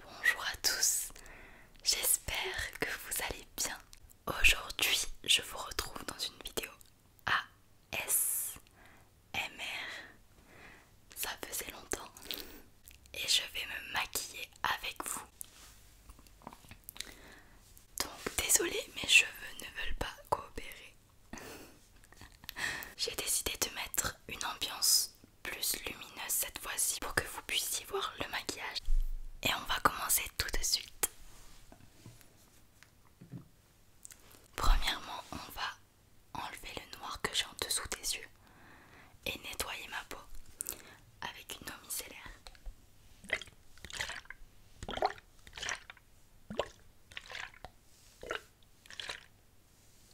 Bonjour à tous, j'espère que vous allez bien. Aujourd'hui, je vous retrouve dans une vidéo ASMR. Ça faisait longtemps. Et je vais me maquiller avec vous. Donc, désolé mes cheveux ne veulent pas coopérer. J'ai décidé de mettre une ambiance plus lumineuse cette fois-ci pour que vous puissiez voir le maquillage. Et on va commencer tout de suite. Premièrement, on va enlever le noir que j'ai en dessous des yeux et nettoyer ma peau avec une eau micellaire.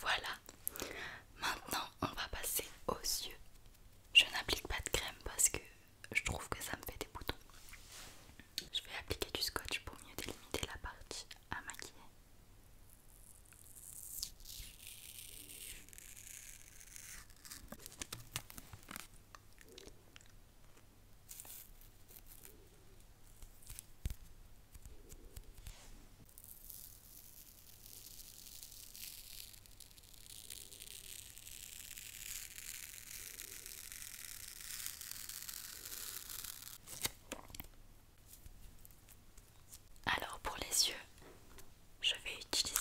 Voilà. Maintenant, on va passer aux yeux. Je n'applique pas de crème parce que je trouve que ça me fait des boutons. Je vais appliquer du scotch pour mieux délimiter la partie à maquiller. Alors pour les yeux, je vais utiliser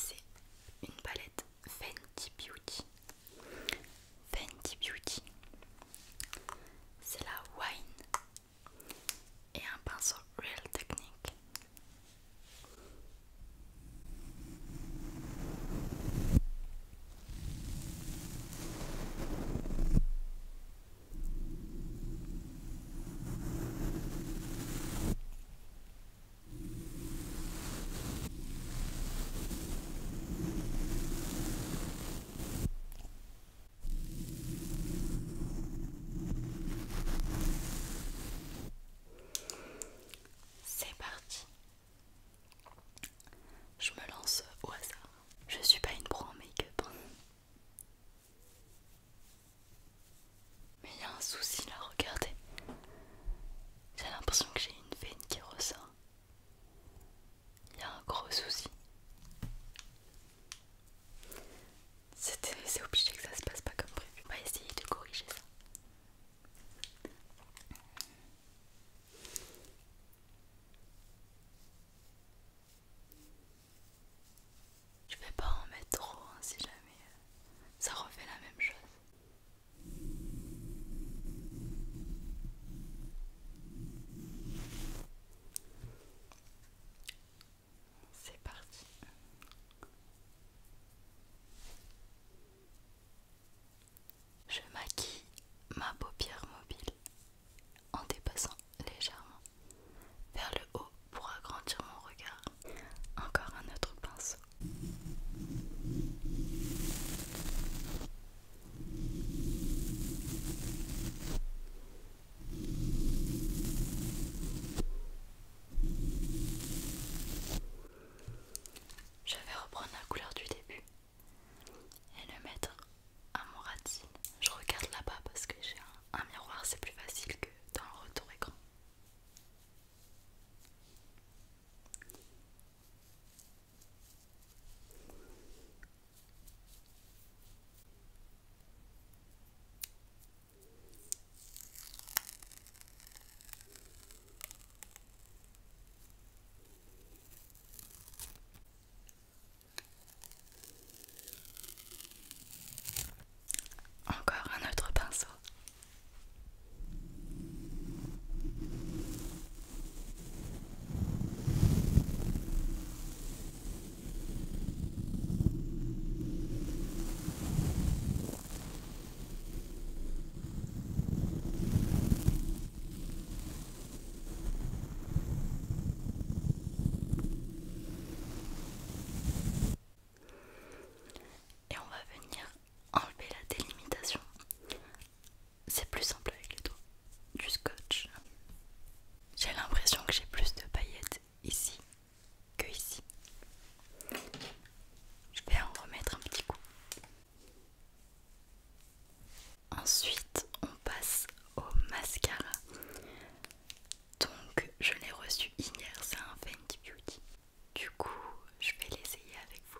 une palette Fenty Beauty Fenty Beauty, c'est la Wine et un pinceau Real Technique. C'est parti. Je me lance au hasard. Je suis pas une pro en make-up. Mais il y a un souci là, regardez. J'ai l'impression que j'ai une veine qui ressort il y a un gros souci. C'est obligé que ça se passe pas comme prévu. On va essayer de corriger ça. Je vais pas en mettre trop hein, si jamais euh, ça refait la même chose. C'est parti. Je maquille ma paupière mobile en dépassant légèrement vers le haut pour agrandir mon regard. Encore un autre pinceau. Je vais reprendre la couleur du début et le mettre à mon ratine. Je regarde là-bas parce que j'ai un miroir, c'est plus facile que dans le retour écran. Encore un autre pinceau. Et on va venir enlever la délimitation c'est plus simple avec les doigts, du scotch. J'ai l'impression que j'ai plus de paillettes ici que ici. Je vais en remettre un petit coup. Ensuite, on passe au mascara. Donc, je l'ai reçu hier, c'est un Fenty Beauty. Du coup, je vais l'essayer avec vous.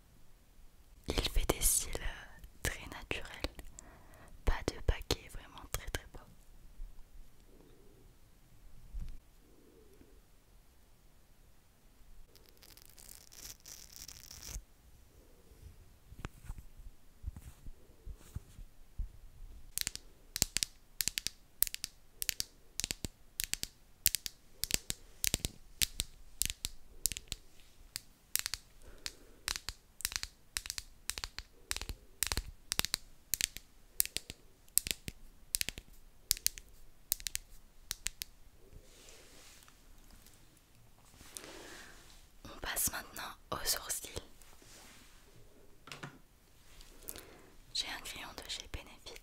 Il fait des cils euh, très naturels, pas de paquet, vraiment très très beau. On passe maintenant aux sourcils. J'ai un crayon de chez Benefit.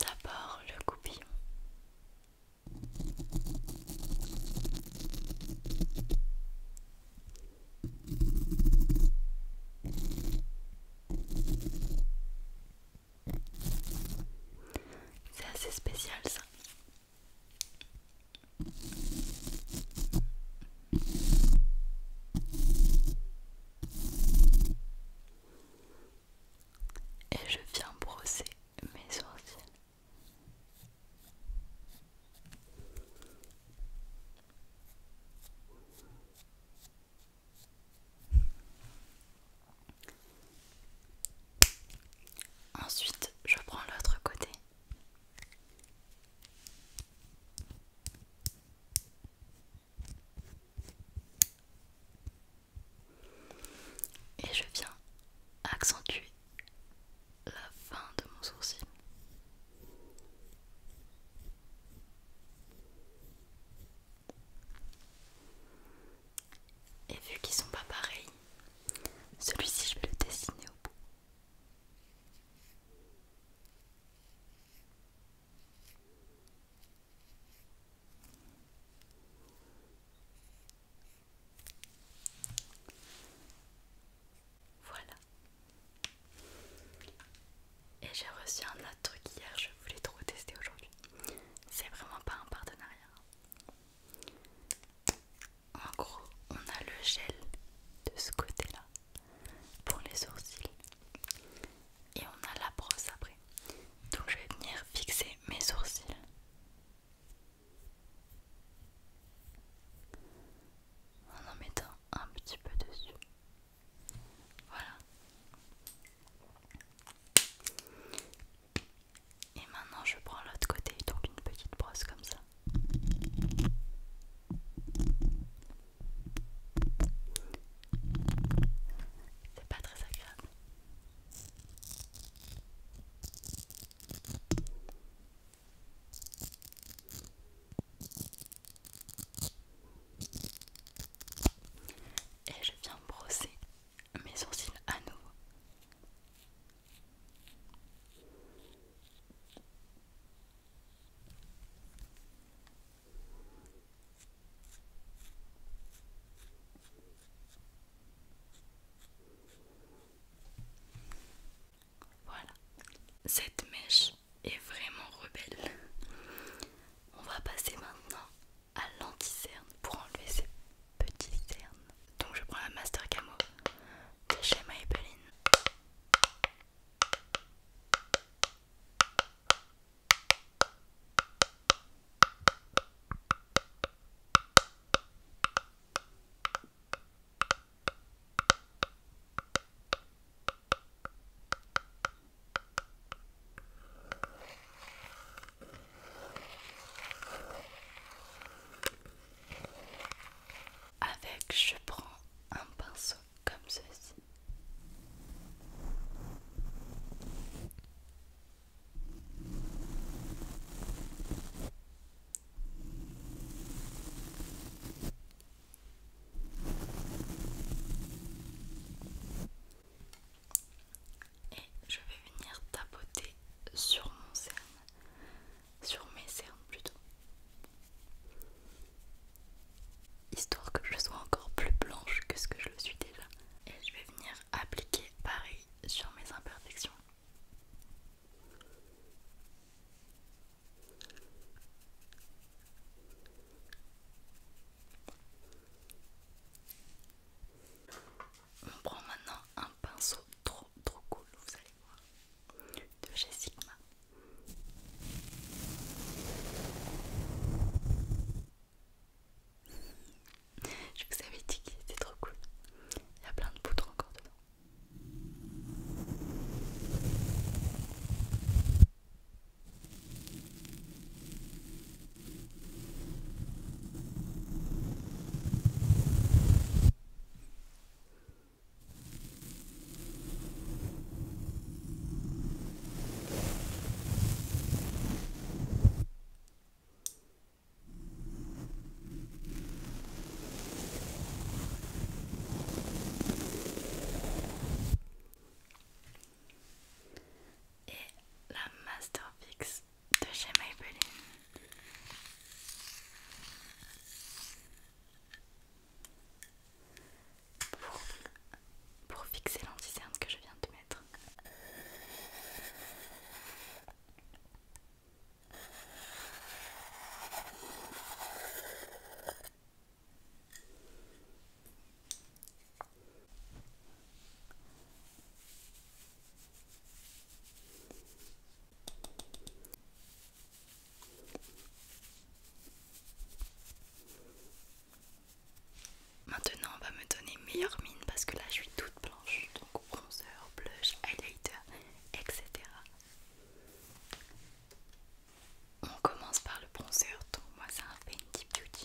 D'abord le goupillon. C'est assez spécial ça. Et je viens brosser mes sourcils. Ensuite, je prends l'autre côté. Et je viens accentuer la fin de mon sourcil. Et vu qu'ils sont pas pareils, celui-ci je vais le dessiner au bout. Voilà. Et j'ai reçu un autre truc hier, je voulais trop tester aujourd'hui. C'est vraiment pas un partenariat. En gros, on a le gel de ce côté-là pour les sourcils et on a la brosse après donc je vais venir fixer mes sourcils en en mettant un petit peu dessus voilà et maintenant je prends l'autre côté donc une petite brosse comme ça c'est pas très agréable. Et je viens brosser mes sourcils à nouveau. Voilà, cette mèche est vraiment rebelle. On va passer maintenant à l'anti-cerne pour enlever cette petite cernes. Donc je prends la Master Camo de chez Maybelline. Avec, je prends un pinceau comme ceci. Et je vais venir tapoter sur mon cerne, sur mes cernes plutôt histoire que je sois encore plus blanche que ce que je le suis déjà. Et je vais venir appliquer pareil sur mes imperfections. On prend maintenant un pinceau trop trop cool, vous allez voir, de chez Sigma. Je vous avais dit que c'était trop cool. Il y a plein de poutres encore dedans. Et la Masterfix de chez Maybelline pour, fixer fixer l'anticerne que je viens de mettre. Maintenant, on va me donner meilleure mine parce que là, je suis toute blanche. Donc bronzer, blush, highlighter, etc. On commence par le bronzer. Donc moi, c'est un deep Beauty.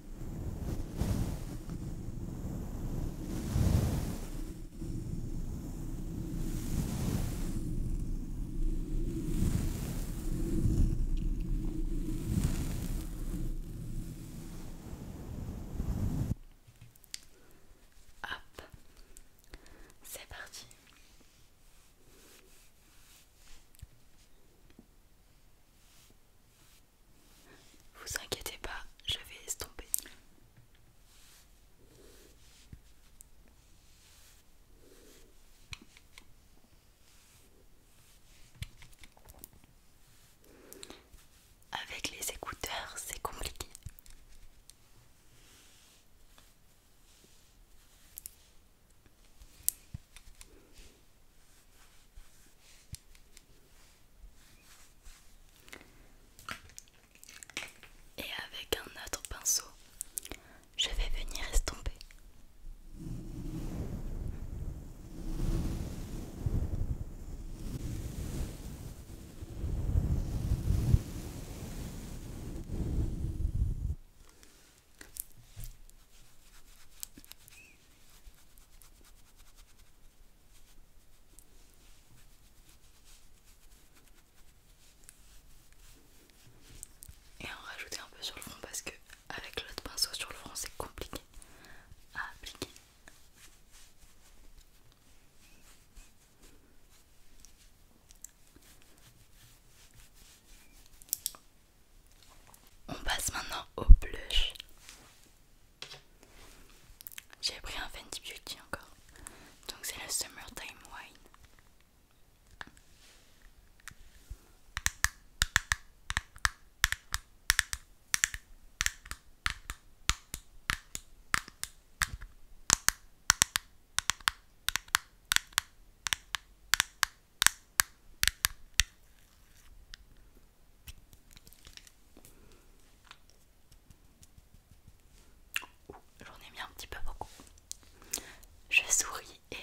Hop, c'est parti. Vous inquiétez pas, je vais estomper. Avec les écouteurs, c'est compliqué. Et avec un autre pinceau, je vais venir estomper. Et en rajouter un peu sur le front parce que avec l'autre pinceau sur le front c'est compliqué à appliquer. On passe maintenant au blush. J'ai pris un Fenty Beauty encore. Donc c'est le Summertime Wine. J'en ai mis un petit peu beaucoup. Je souris et...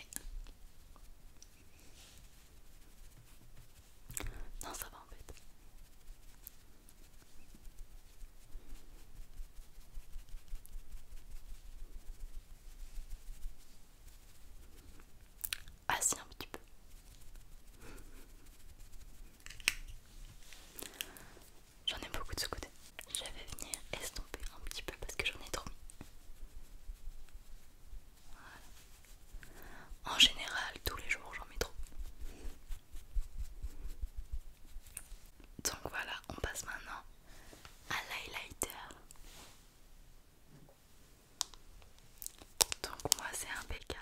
Non, ça va en fait assis ah, un petit peu. J'en ai beaucoup de ce côté. Je vais venir estomper un petit peu parce que j'en ai trop En général, tous les jours, j'en mets trop. Donc voilà, on passe maintenant à l'highlighter. Donc moi c'est un BK.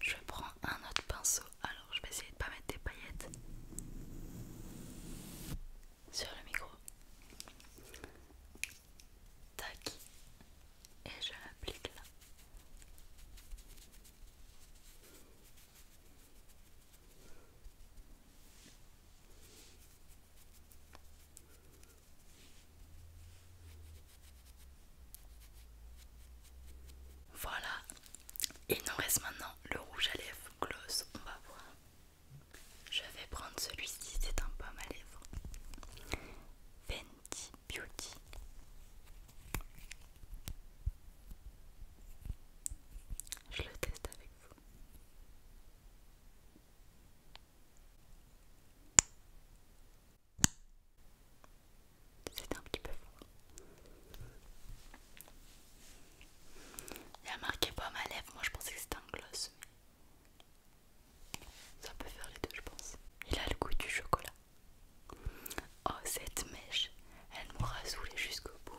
Je prends un autre pinceau, alors je vais essayer de pas mettre des paillettes sur le micro. Tac. Et je l'applique là. Voilà, il nous reste maintenant le rouge à lèvres gloss, on va voir. Je vais prendre celui-ci, c'est un pomme à lèvres. Fenty Beauty. Je le teste avec vous. C'est un petit peu fort. Il a marqué pas ma lèvre, moi je pensais que c'était un gloss, mais ça peut faire les deux, je pense. Il a le goût du chocolat. Oh, cette mèche, elle m'aura saoulé jusqu'au bout.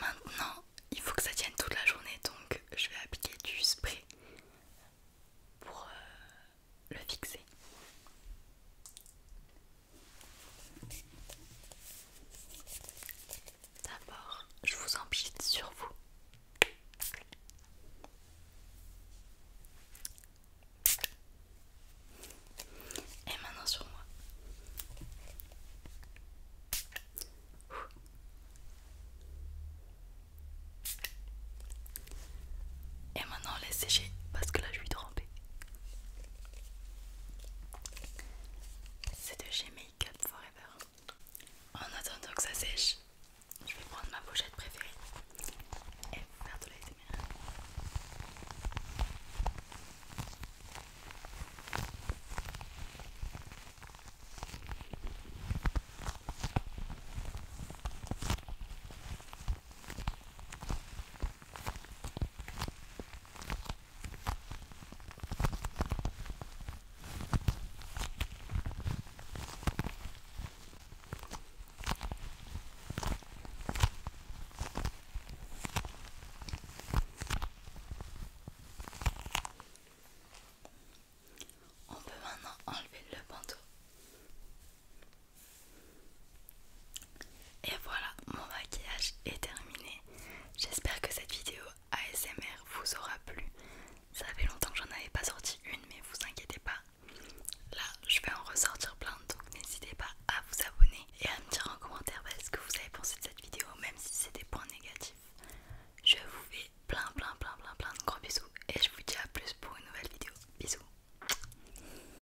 Maintenant, il faut que ça tienne toute la journée, donc je vais appliquer du spray pour euh, le fixer. D'abord, je vous empile sur vous. Et maintenant sur moi. Et maintenant laissez sécher parce que là je suis c'est de chez Make Up Forever. En attendant que ça sèche, je vais prendre ma pochette préférée et faire de la on peut maintenant enlever le bandeau. Et voilà, mon maquillage est terminé. J'espère que cette vidéo ASMR vous aura plu. Ça fait longtemps que j'en avais pas sorti une, mais vous inquiétez pas. Là, je vais en ressortir plein, donc n'hésitez pas à vous abonner et à me dire en commentaire bah, ce que vous avez pensé de cette vidéo, même si c'est des points négatifs. Je vous fais plein, plein, plein, plein, plein de gros bisous et je vous dis à plus pour une nouvelle vidéo. Bisous.